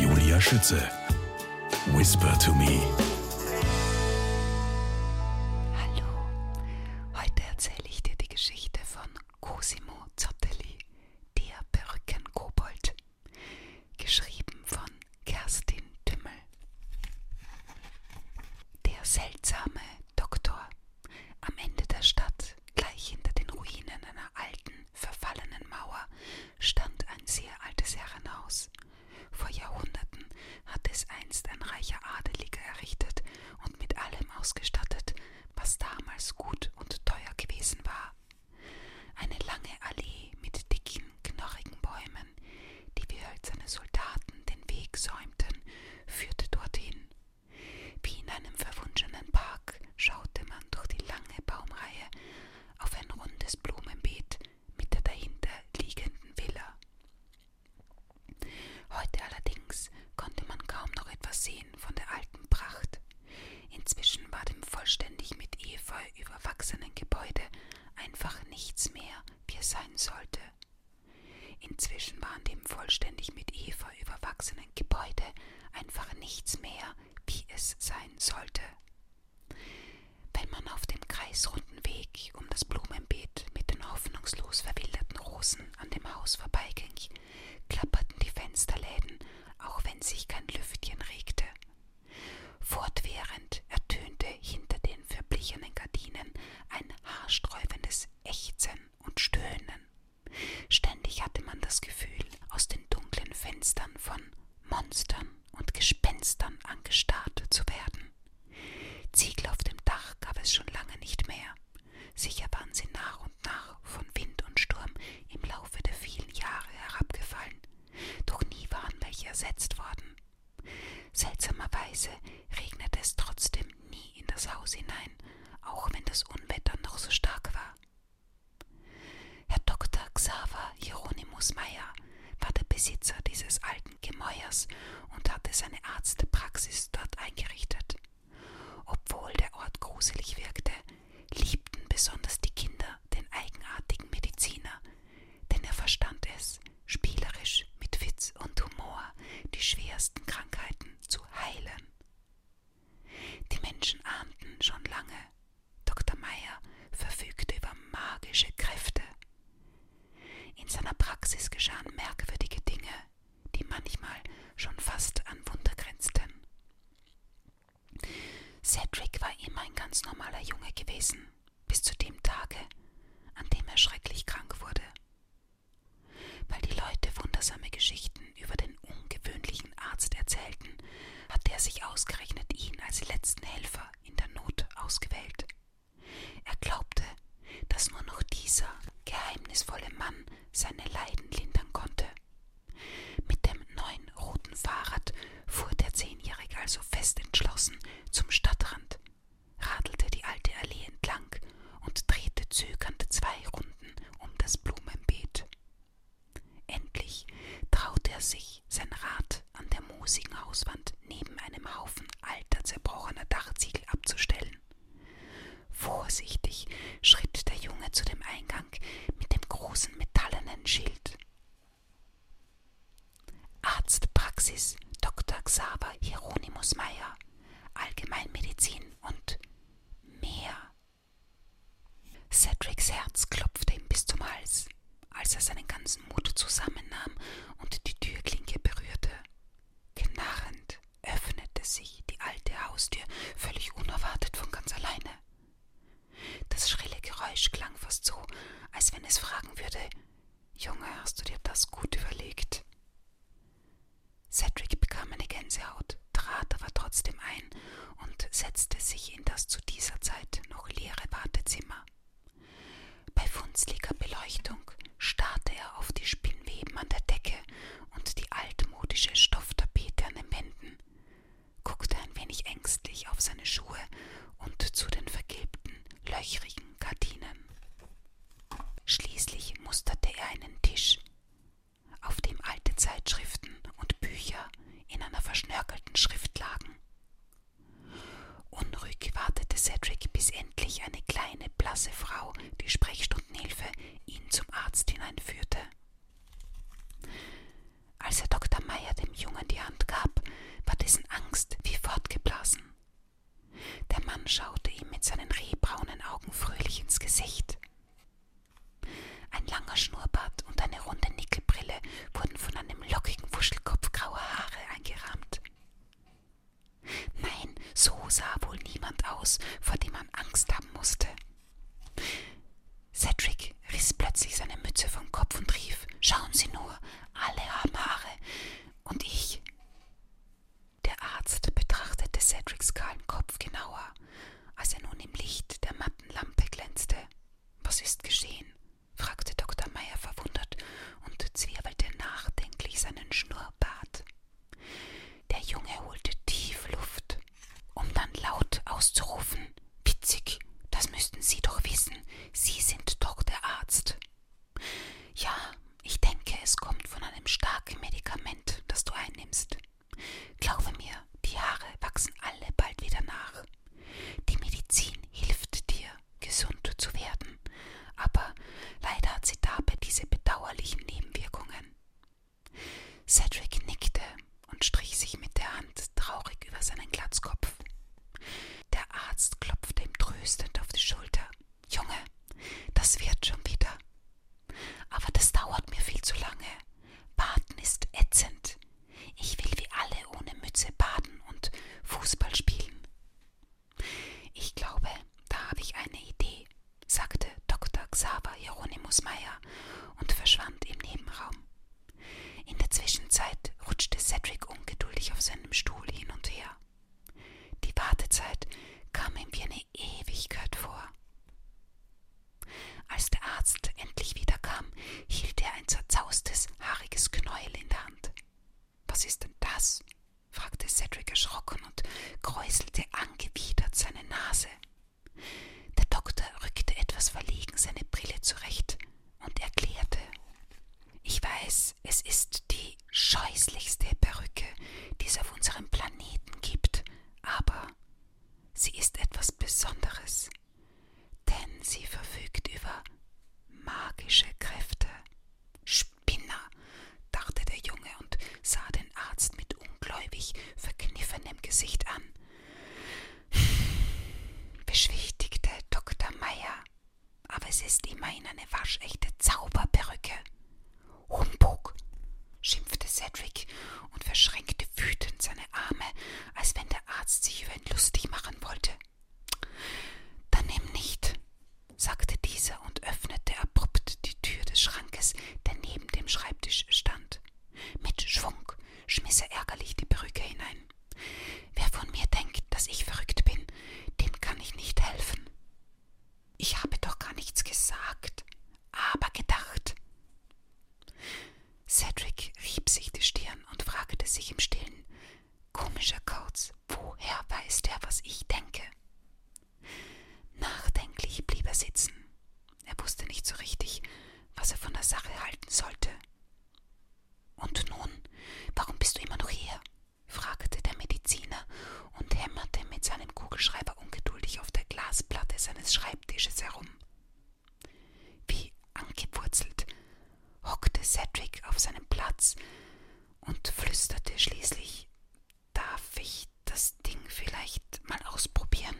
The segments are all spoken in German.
Julia Schütze. Whisper to me. Hallo. Heute erzähle ich dir die Geschichte von Cosimo Zottelli, der Perückenkobold. Geschrieben von Kerstin Tümmel. Der seltsame Doktor am Ende der Stadt Gleich hinter den Ruinen einer alten, verfallenen Mauer stand ein sehr altes Herrenhaus. Vor Jahrhunderten hatte es einst ein reicher Adeliger errichtet und mit allem ausgestattet, was damals gut und teuer gewesen war. Eine lange Allee mit dicken, knorrigen Bäumen, die wie hölzerne Soldaten den Weg säumten, führte dorthin. Wie in einem verwunschenen Park schaute man Wandern durch die lange Baumreihe auf ein rundes Blumenbeet mit der dahinter liegenden Villa. Heute allerdings konnte man kaum noch etwas sehen von der alten Pracht. Inzwischen war dem vollständig mit Efeu überwachsenen Gebäude einfach nichts mehr, wie es sein sollte. Inzwischen war an dem vollständig mit Efeu überwachsenen Gebäude einfach nichts mehr, wie es sein sollte. Wenn man auf dem kreisrunden Weg um das Blumenbeet mit den hoffnungslos verwilderten Rosen an dem Haus vorbeiging, klapperten die Fensterläden, auch wenn sich kein Lüftchen regte. Fortwährend ertönte hinter den verblichenen Gardinen ein haarsträubendes Ächzen und Stöhnen. Ständig hatte man das Gefühl, aus den dunklen Fenstern von Monstern und Gespenstern angestarrt zu werden. Ziegel auf dem Dach gab es schon lange nicht mehr. Sicher waren sie nach und nach von Wind und Sturm im Laufe der vielen Jahre herabgefallen, doch nie waren welche ersetzt worden. Seltsamerweise regnete es trotzdem nie in das Haus hinein, auch wenn das Unwetter noch so stark war. Herr Dr. Xaver Hieronymus Meyer war der Besitzer dieses alten Gemäuers und hatte seine Arztpraxis dort eingerichtet. Obwohl der Ort gruselig wirkte, liebten besonders die Kinder den eigenartigen Mediziner, denn er verstand es, spielerisch mit Witz und Humor die schwersten Krankheiten zu heilen. Die Menschen ahnten schon lange, Dr. Meyer verfügte über magische Kräfte. In seiner Praxis geschahen merkwürdige Dinge, die manchmal schon fast an Wunder grenzten. Cedric war immer ein ganz normaler Junge gewesen, bis zu dem Tage, an dem er schrecklich krank wurde. Weil die Leute wundersame Geschichten über den ungewöhnlichen Arzt erzählten, hatte er sich ausgerechnet ihn als letzten Helfer in der Not ausgewählt. Er glaubte, dass nur noch dieser geheimnisvolle Mann seine Leiden lindern konnte. Mit dem neuen roten Fahrrad fuhr der Zehnjährige also fest entschlossen zum Stadtrand, radelte die alte Allee entlang und drehte zögernd zwei Runden um das Blumenbeet. Endlich traute er sich, sein Rad an der moosigen Hauswand neben einem Haufen alter, zerbrochener Dachziegel abzustellen. Vorsichtig schritt der Junge zu dem Eingang mit dem großen metallenen Schild. Arztpraxis Dr. Xaver Hieronymus Meyer, Allgemeinmedizin und mehr Cedrics Herz klopfte ihm bis zum Hals, als er seinen ganzen Mut zusammennahm und die Türklinke berührte. Knarrend öffnete sich die alte Haustür völlig unerwartet von ganz alleine. Das schrille Geräusch klang fast so, als wenn es fragen würde Junge, hast du dir das gut überlegt? Cedric bekam eine Gänsehaut, trat aber trotzdem ein und setzte sich in das zu dieser Zeit noch leere Wartezimmer. Bei funzliger Beleuchtung starrte er auf die Spinnweben an der Decke und die altmodische Stofftapete an den Wänden, guckte ein wenig ängstlich auf seine Schuhe und zu den vergilbten, löchrigen Gardinen. Schließlich musterte er einen Tisch, auf dem alte Zeitschriften und Bücher in einer verschnörkelten Schrift lagen. Unruhig wartete Cedric, bis endlich eine kleine, blasse Frau, die Sprechstundenhilfe, ihn zum Arzt hineinführte. Als er Dr. Meyer dem Jungen die Hand gab, war dessen Angst wie fortgeblasen. Der Mann schaute ihm mit seinen rehbraunen Augen fröhlich ins Gesicht. Ein langer Schnurrbart und eine runde Nickelbrille wurden von einem lockigen Wuschelkopf grauer Haare eingerahmt. Nein, so sah wohl niemand aus, vor dem man Angst haben musste. Cedric riss plötzlich seine Mütze vom Kopf und rief: Schauen Sie nur, alle haben Haare. Und ich. Der Arzt betrachtete Cedrics kahlen Kopf genauer, als er nun im Licht der matten Lampe glänzte. Was ist geschehen? fragte Dr. Meyer verwundert und zwirbelte nachdenklich seinen Schnurrbart. Der Junge holte tief Luft, um dann laut auszurufen Witzig, das müssten Sie doch wissen, Sie sind doch der Arzt. Ja, ich denke, es kommt von einem starken Medikament, das du einnimmst. Glaube mir, die Haare wachsen alle bald wieder nach. Die Medizin hilft dir, gesund zu werden, aber leider hat sie dabei diese bedauerlichen Nebenwirkungen. Cedric nickte und strich sich mit der Hand traurig über seinen Glatzkopf. Der Arzt klopfte ihm tröstend auf die Schulter. Junge, das wird schon wieder. Aber das dauert mir viel zu lange. Baden ist ätzend. Ich will wie alle ohne Mütze baden und Fußball spielen. Ich glaube, da habe ich eine Idee, sagte Dr. Xaver Hieronymus Meyer und verschwand im Nebenraum. In der Zwischenzeit rutschte Cedric ungeduldig auf seinem Stuhl hin und her. Die Wartezeit kam ihm wie eine Ewigkeit vor. Als der Arzt endlich wiederkam, hielt er ein zerzaustes, haariges Knäuel in der Hand. Was ist denn das? fragte Cedric erschrocken und kräuselte angewidert seine Nase. Der Doktor rückte etwas verlegen seine Brille zurecht und erklärte Ich weiß, es ist die scheußlichste Perücke, die es auf unserem Planeten gibt, aber sie ist etwas Besonderes, denn sie verfügt über magische Kräfte. Spinner, dachte der Junge und sah den Arzt mit ungläubig verkniffenem Gesicht an. Beschwichtigte Dr. Meyer, aber es ist immerhin eine waschechte Zauberperücke. Humbug, schimpfte Cedric und verschränkte wütend seine Arme, als wenn der Arzt sich über ihn lustig machen wollte. Dann nimm nicht, sagte dieser und öffnete abrupt die Tür des Schrankes, der neben dem Schreibtisch stand. Mit Schwung schmiss er ärgerlich die Perücke hinein. Wer von mir denkt, dass ich verrückt bin, dem kann ich nicht helfen. Ich habe doch gar nichts gesagt, aber gedacht. Cedric rieb sich die Stirn und fragte sich im Stillen: Komischer Kauz, woher weiß der, was ich denke? Nachdenklich blieb er sitzen. Er wusste nicht so richtig, was er von der Sache halten sollte. Und nun, warum bist du immer noch hier? fragte der Mediziner und hämmerte mit seinem Kugelschreiber ungeduldig auf der Glasplatte seines Schreibtisches herum. Wie angewurzelt hockte Cedric auf seinem Platz und flüsterte schließlich Darf ich das Ding vielleicht mal ausprobieren?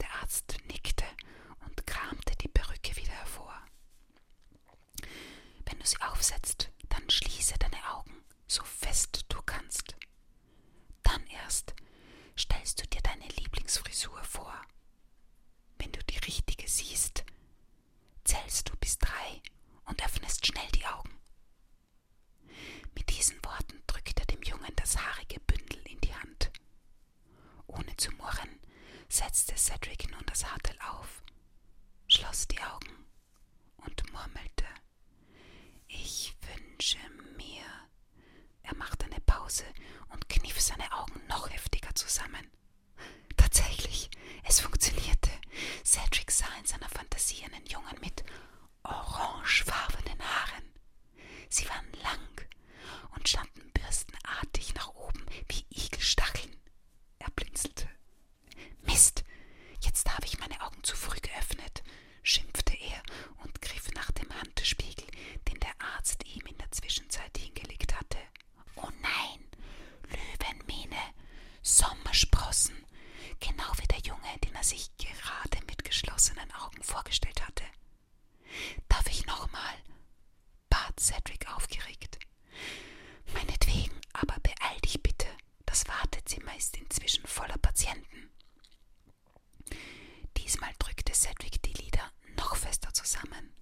Der Arzt nickte und kramte die Perücke wieder hervor. Wenn du sie aufsetzt, dann schließe deine Augen so fest du kannst. Dann erst stellst du dir deine Lieblingsfrisur vor. Wenn du die richtige siehst, zählst du bis drei und öffnest schnell die Augen. Mit diesen Worten drückt er dem Jungen das haarige Bündel in die Hand. Ohne zu murren, setzte Cedric nun das Hartel auf, schloss die Augen und murmelte ich wünsche mir. Er machte eine Pause und kniff seine Augen noch heftiger zusammen. Tatsächlich, es funktionierte. Cedric sah in seiner Fantasie einen Jungen mit orangefarbenen Haaren. Sie waren lang und standen bürstenartig nach oben wie Igelstacheln. Er blinzelte. Mist, jetzt habe ich meine Augen zu früh geöffnet, schimpfte er und griff nach dem Handspiegel, den der Arzt ihm in der Zwischenzeit hingelegt hatte. Oh nein, Löwenmähne, Sommersprossen, genau wie der Junge, den er sich gerade mit geschlossenen Augen vorgestellt hatte. Darf ich nochmal? bat Cedric aufgeregt. Meinetwegen, aber beeil dich bitte. Das Wartezimmer ist inzwischen voller Patienten. Diesmal drückte Sedgwick die Lider noch fester zusammen.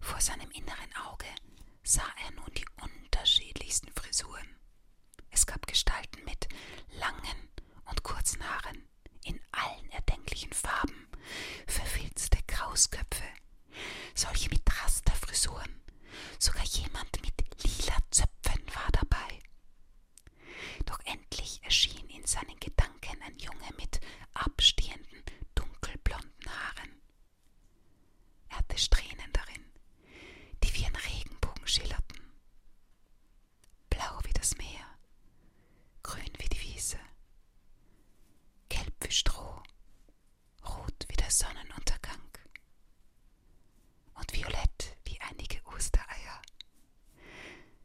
Vor seinem inneren Auge sah er nun die unterschiedlichsten Frisuren. Es gab Gestalten mit langen und kurzen Haaren in allen erdenklichen Farben, verfilzte Krausköpfe, solche mit Rasterfrisuren, Sogar jemand mit lila Zöpfen war dabei. Doch endlich erschien in seinen Gedanken ein Junge mit abstehenden, dunkelblonden Haaren. Er hatte Strähnen darin, die wie ein Regenbogen schillerten. Blau wie das Meer, grün wie die Wiese, gelb wie Stroh rot wie der Sonnenuntergang und violett wie einige Ostereier.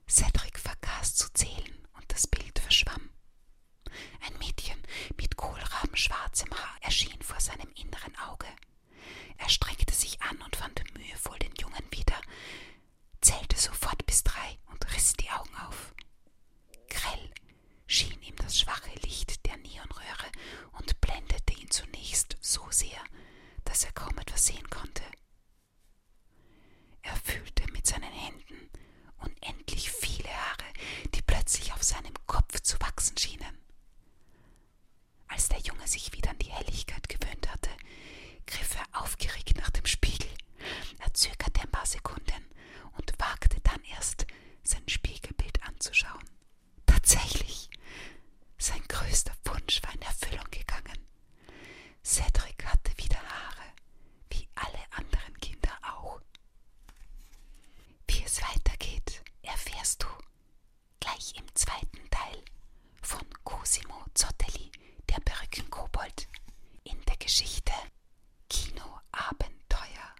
Cedric vergaß zu zählen und das Bild verschwamm. Ein Mädchen mit kohlrabenschwarzem Haar erschien vor seinem inneren Auge. Er streckte sich an und fand mühevoll den Jungen wieder, zählte sofort bis drei und riss die Augen auf. Grell schien ihm das schwache Licht der Neonröhre und blendete ihn zunächst so sehr, dass er kaum etwas sehen konnte. Er fühlte mit seinen Händen unendlich viele Haare, die plötzlich auf seinem Kopf zu wachsen schienen. Als der Junge sich wieder an die Helligkeit gewöhnt hatte, griff er aufgeregt nach dem Spiegel. Er zögerte ein paar Sekunden und wagte dann erst, sein Spiegelbild anzuschauen. Tatsächlich, sein größter Wunsch war in Erfüllung gegangen. Cedric hatte wieder Haare, wie alle anderen Kinder auch. Wie es weitergeht, erfährst du gleich im zweiten Teil von Cosimo Zottelli, der Perückenkobold, in der Geschichte Kinoabenteuer.